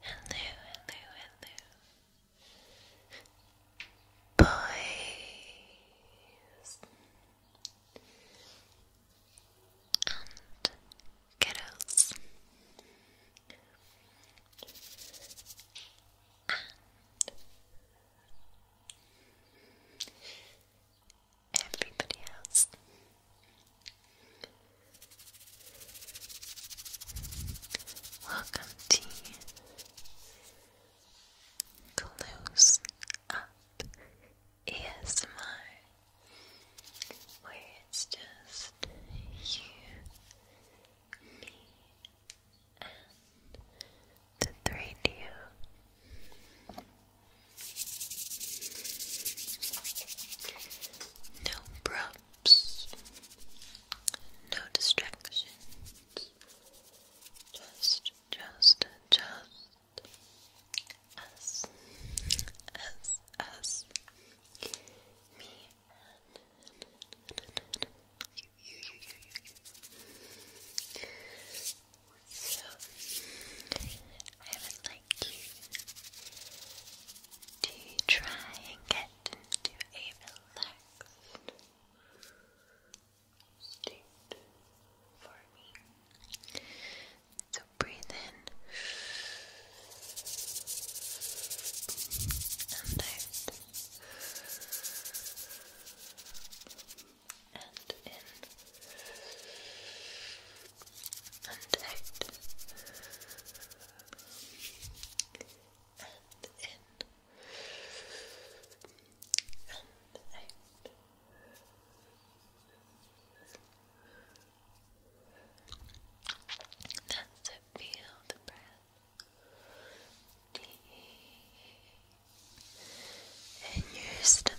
Hello, hello, Boys and girls and everybody else. Welcome to Close Up ASMR, where it's just you, me, and the three D. No props, no distractions, just, just, just us, us, us, me and you, you, you, you, you. So, I would like to try and get into a relaxed state for me. So breathe in and out. And in and out and in and out that's it, feel the breath deep in your stomach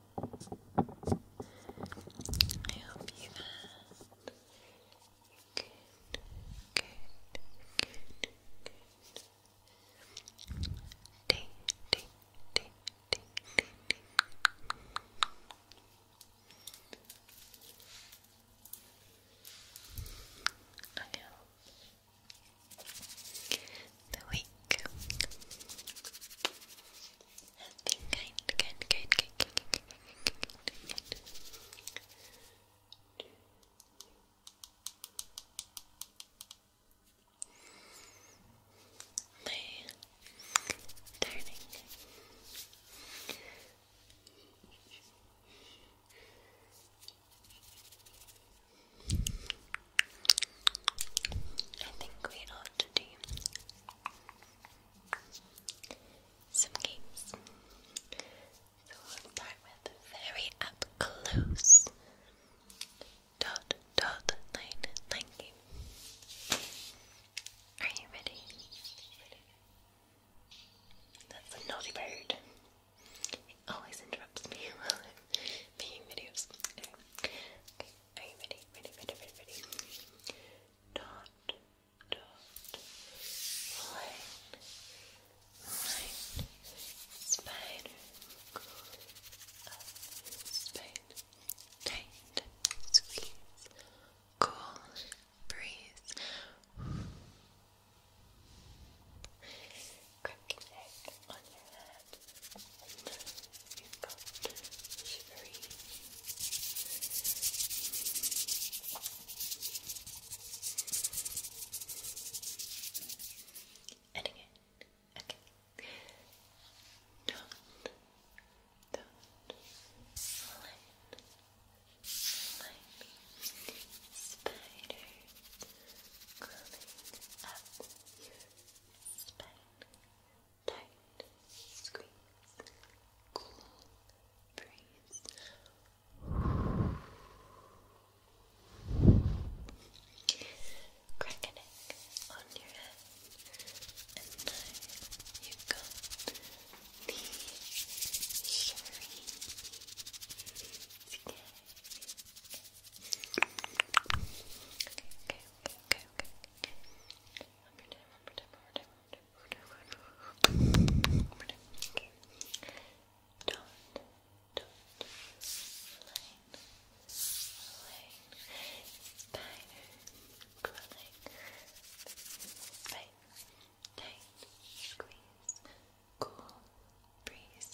I hope you had good, good, good, good day, day, day, day, day, the week Good, good, I think we all quantity. Some games. So we'll start with very up close. Dot dot line line game. Are you ready? That's a naughty bird. always interrupts me while I'm making videos. Are you ready? Ready, ready, ready, Dot, dot, line, line, spider, go up, tight, squeeze, cool, breeze, crack an on your head that you And again, okay. Don't, don't let my spider crawling up your spine tight, squeeze, cool, breeze. Crack a neck on your head, and you got the shiny Okay, okay, okay, okay, okay. One more line, line, spider, crawling, bite, tight, squeeze, cool, breeze.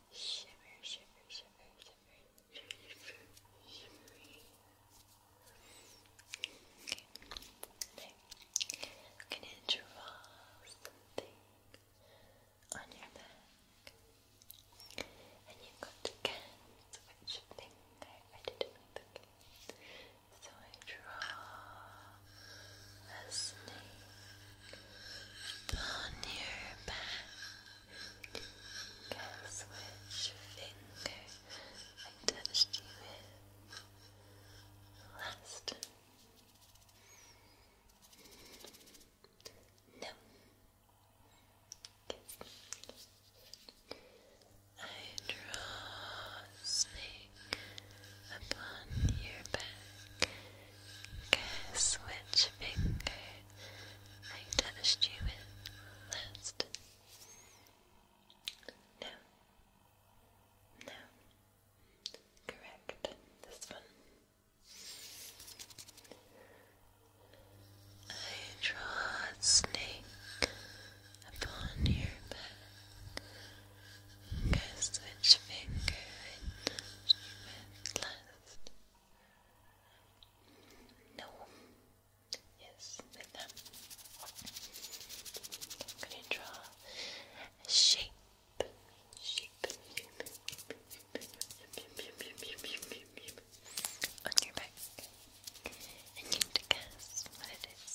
Shiver, shiver, shiver, shiver, gonna draw something on your back. And you've got to guess which finger. I didn't like So I draw a snake down your back. Guess which finger I touched you last? No. I draw a snake upon your back Guess which finger I touched you with No. No. Correct. This one. I draw snake upon your back. Guess which finger left, No. Yes, with them. I'm gonna draw a shape. Shape. On your back. And you need to guess what it is.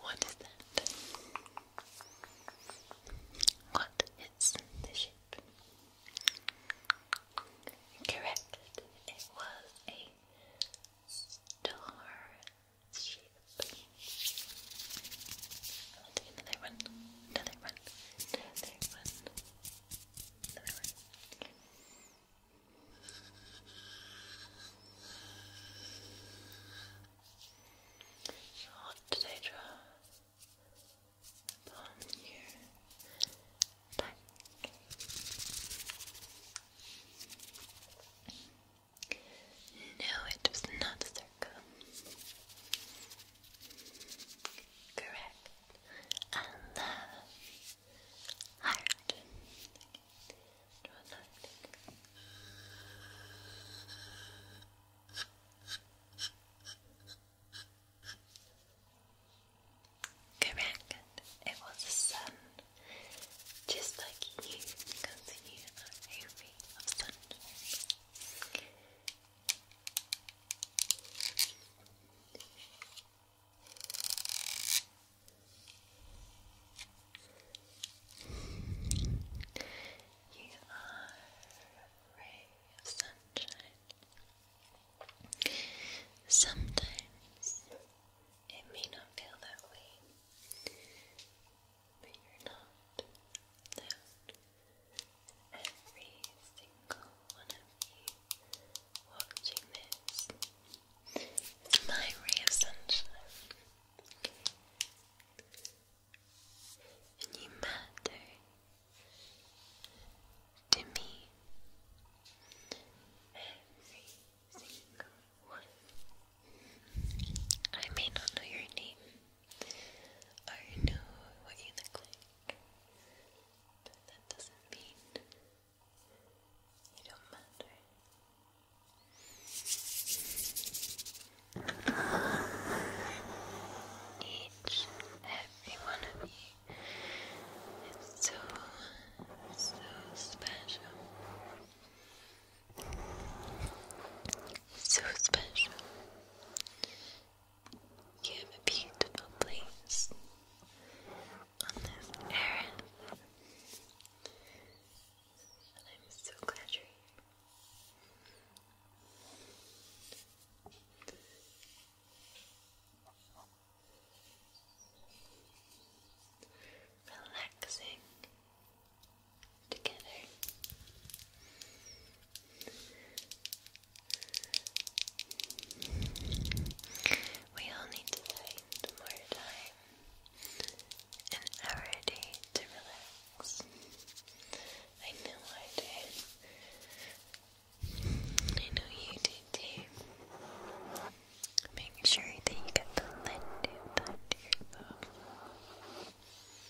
What is that? What is the ship? Correct. It was a star ship. Another one. Another one. Another one the mirror. What did I back? No, it was not a Correct. And the heart. Correct. It was the sun. Just like you continue a ray of sunshine. You are a ray of sunshine. Sometimes it may not feel that way, but you're not that every single one of you watching this. my ray of sunshine. And you matter to me. Every single one. I may not know your name. I know what you look like, but that doesn't mean you don't matter. Each and every one of you is so, so special. So special. You have a beautiful place on this earth. And I'm so glad you're here. Relaxing together. We all need to find more time in our day to relax. I know I did. I know you did too. Make sure that you get the lint out of yourself.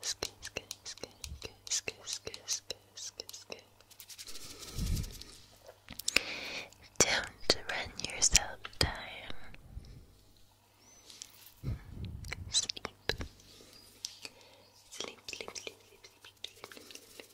Skip, skip, skip, skip, skip, skip, skip, skip. Don't run yourself down. Sleep. Sleep, sleep, sleep, sleep, sleep, sleep, sleep, sleep.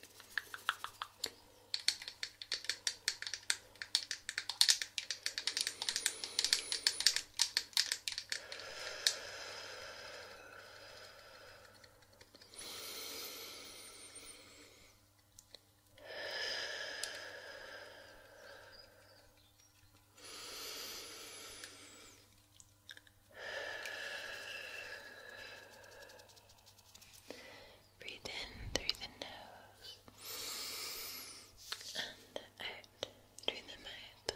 Breathe in through the nose and out lunemetre.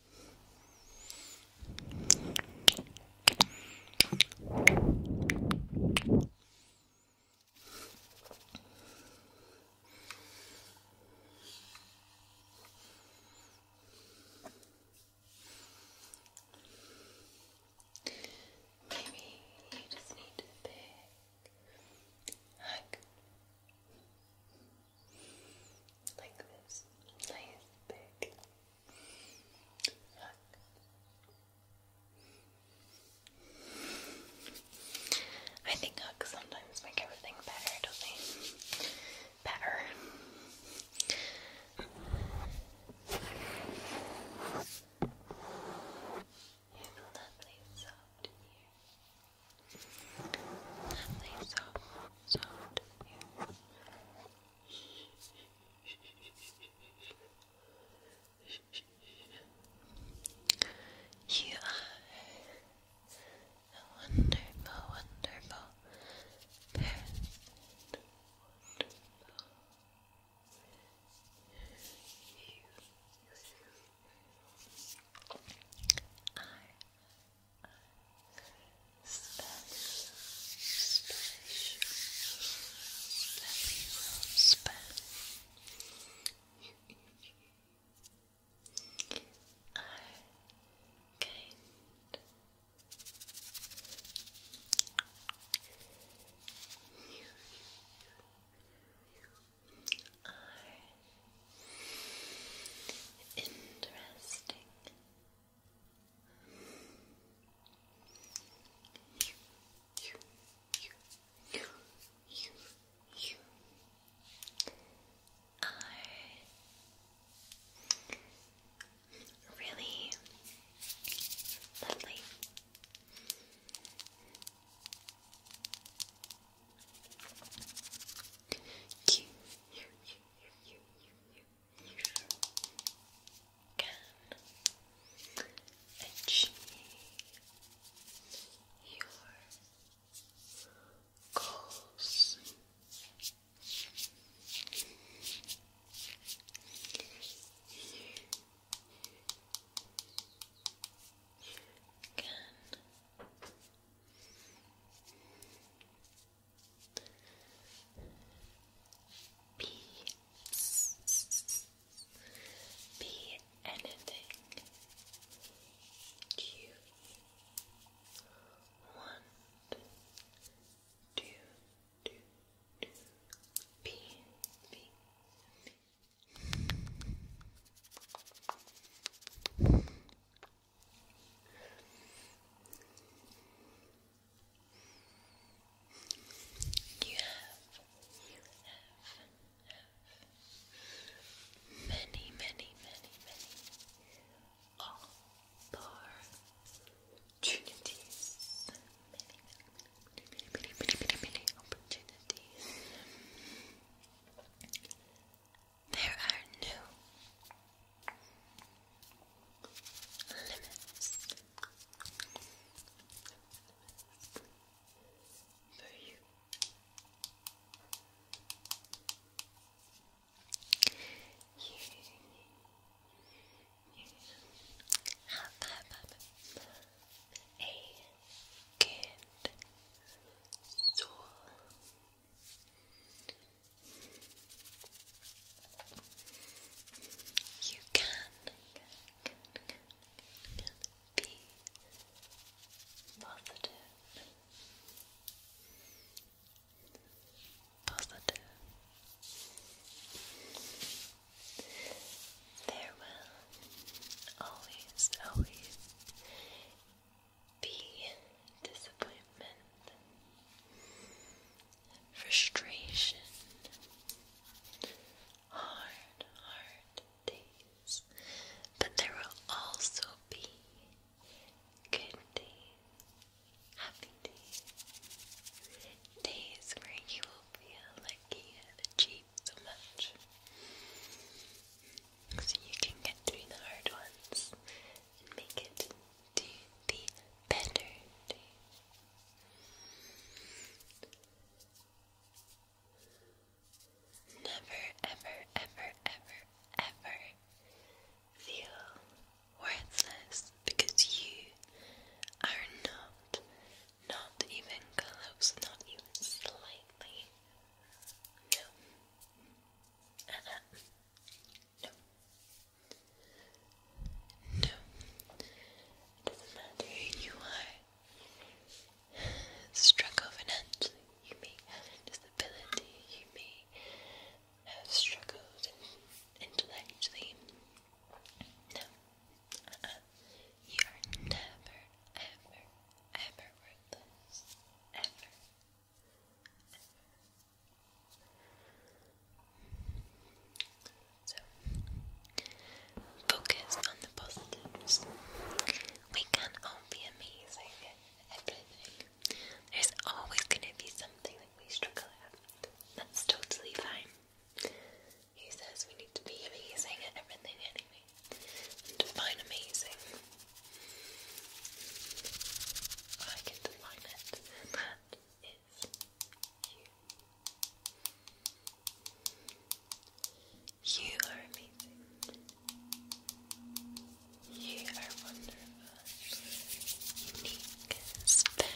Maybe you just need a big hug like this nice big hug. I think hugs sometimes make everything better, don't they? Better. It's lovely soft here. Lovely soft, soft here. You wonderful, wonderful You special, special, very well spent. I gained are interesting you, you, you, are really lovely. You, you, you, you, you, you, you can achieve your goals. You can be be anything you want to do, do. Be, be, be. You have, you many, many, many, many opportunities. many, many, many, many, many, many opportunities there are no limits for you. You, have a good soul. You can, can, can, positive, positive. There will always, always be disappointment, frustration, hard, hard days, but there will also be good days, happy days, days where you will feel like you achieved so much. So you can get through the hard ones make it to the better Never, ever, ever, ever, ever feel worthless because you are not, not even close, not even slightly. No. Uh-uh. No. No. It doesn't matter who you are. Struggle financially. You may have a You may have struggled intellectually. No. Uh-uh. You are never, ever, ever worthless focus on the positives. We can all be amazing at everything. There's always going to be something that we struggle at. That's totally fine. He says we need to be amazing at everything anyway. define amazing I can define it, and you. You are amazing. You are wonderful, unique, special.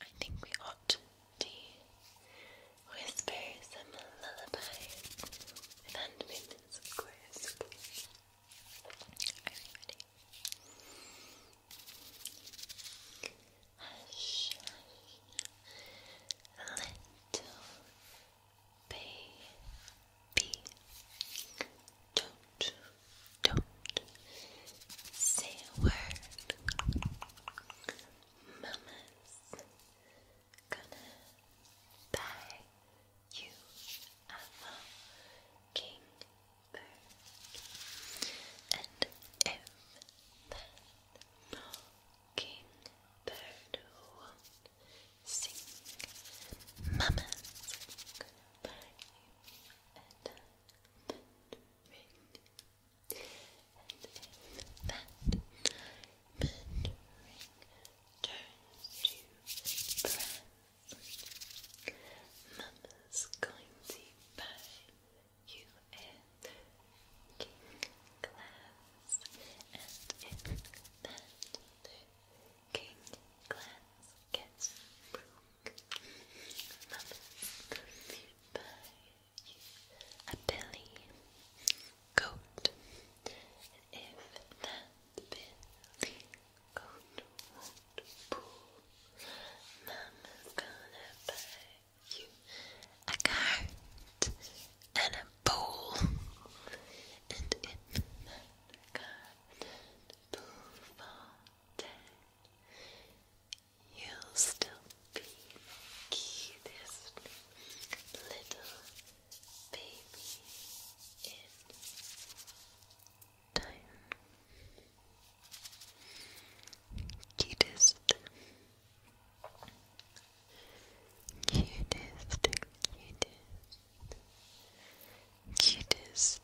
I think we ought to whisper some lullabies with hand movements, of Are you ready? Hush, hush, Little baby, don't, don't say a word. Mama's gonna buy you a mockingbird, and if that Bird won't sing. Mama's gonna buy you a diamond ring, and if ring turns to brass, Mama's going to buy you king glass, and in that king glass gets broke, by a billy goat, if that billy goat won't pull, Mama's gonna buy you a card and a bowl, and in that card and bowl fountain, you'll still be cutest little baby in time. Cutest Cutest, cutest, cutest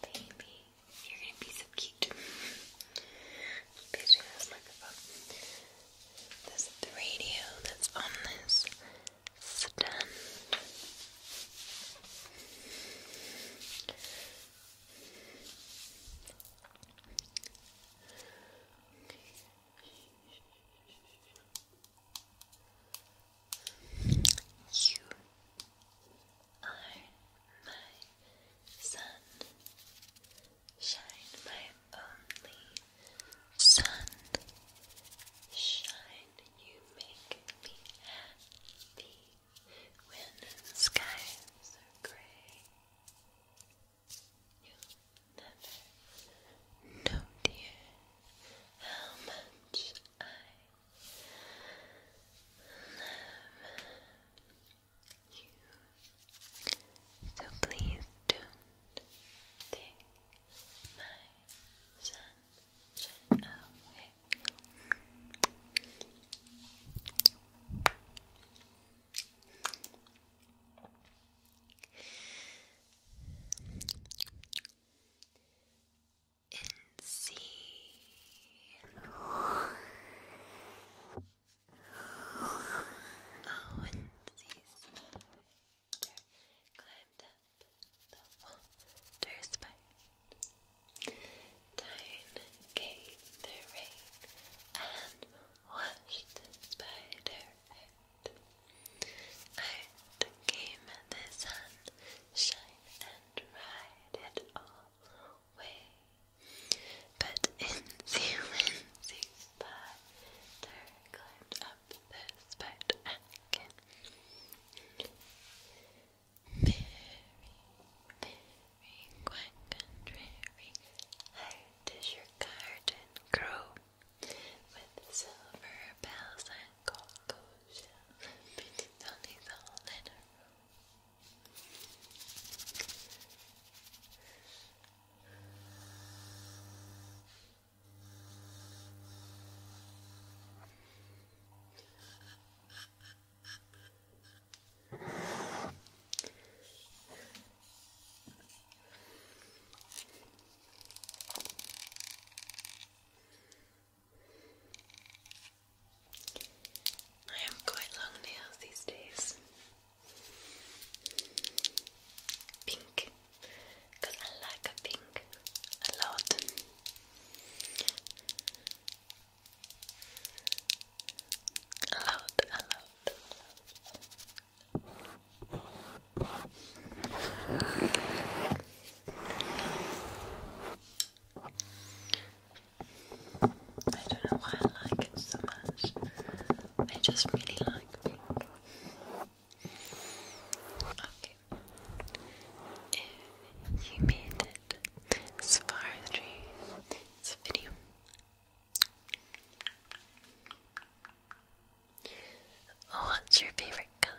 baby. You're gonna be so cute. this microphone. This radio that's on this stand. You are my sun, shine my only sun, shine. You make me happy when skies are gray. You'll never know, dear, how much I love you. So please don't take my sunshine away and see oh and see climbed up the water spine time came the rain and watched the spider out. Out came the sun, shine and ride it all away. But Insy Wincy Spider climbed up the spider again. Very, very quite contrary. I does your garden grow with silver bells and cocoa shells beating on his I have quite long nails these days. Pink, because I like pink A lot, a lot, a lot. I don't know why I like it so much. I just really like pink. Okay. you made it this far through this video, What's your favorite color?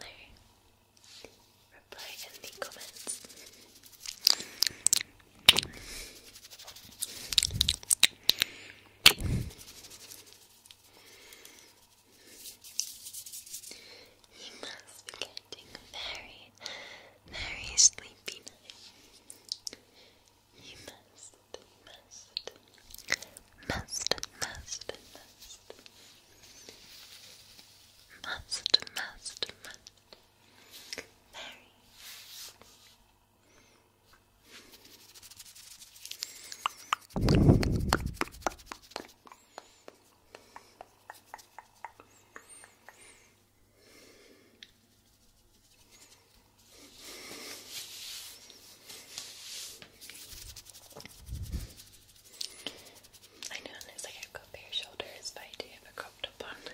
Reply in the comments. You must be getting very, very sleepy you must, must, must, must, must, must, must, must. Very. Very I know it looks like I've got bare shoulders, but I do have a cropped up one. I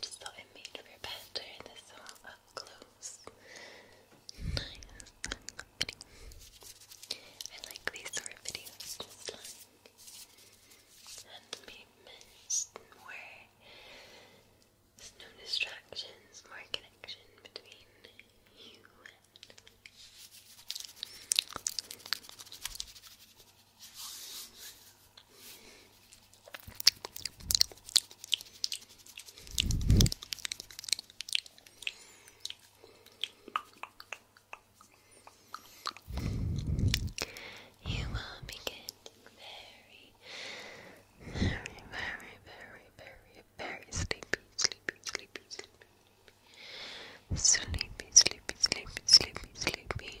just thought it made for a better this song close. I like these sort of videos, just like hand movements, more no distractions, more connection between you and you will begin very, very, very, very, very, very sleepy, sleepy, sleepy, sleepy, sleepy, sleepy, sleepy, sleepy, sleepy.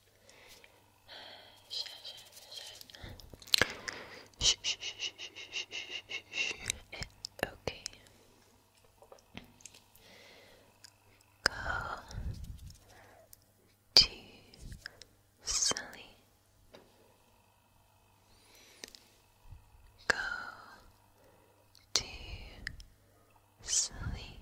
Shh, Okay. Go to sleep. Go to sleep.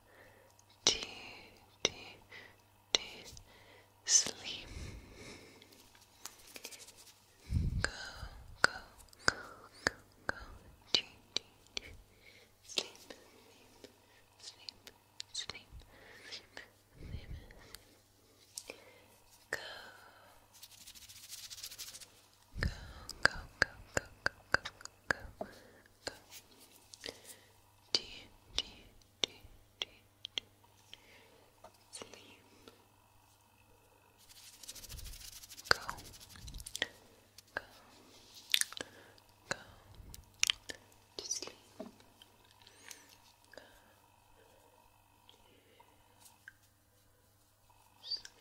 D D D sleep go go go go go D D D sleep sleep sleep sleep sleep sleep sleep go Go, go, go, go, go, go, go, go, go, do, do, do, do, do. Sleep. Go. Go. Go. To sleep. Go. To sleep.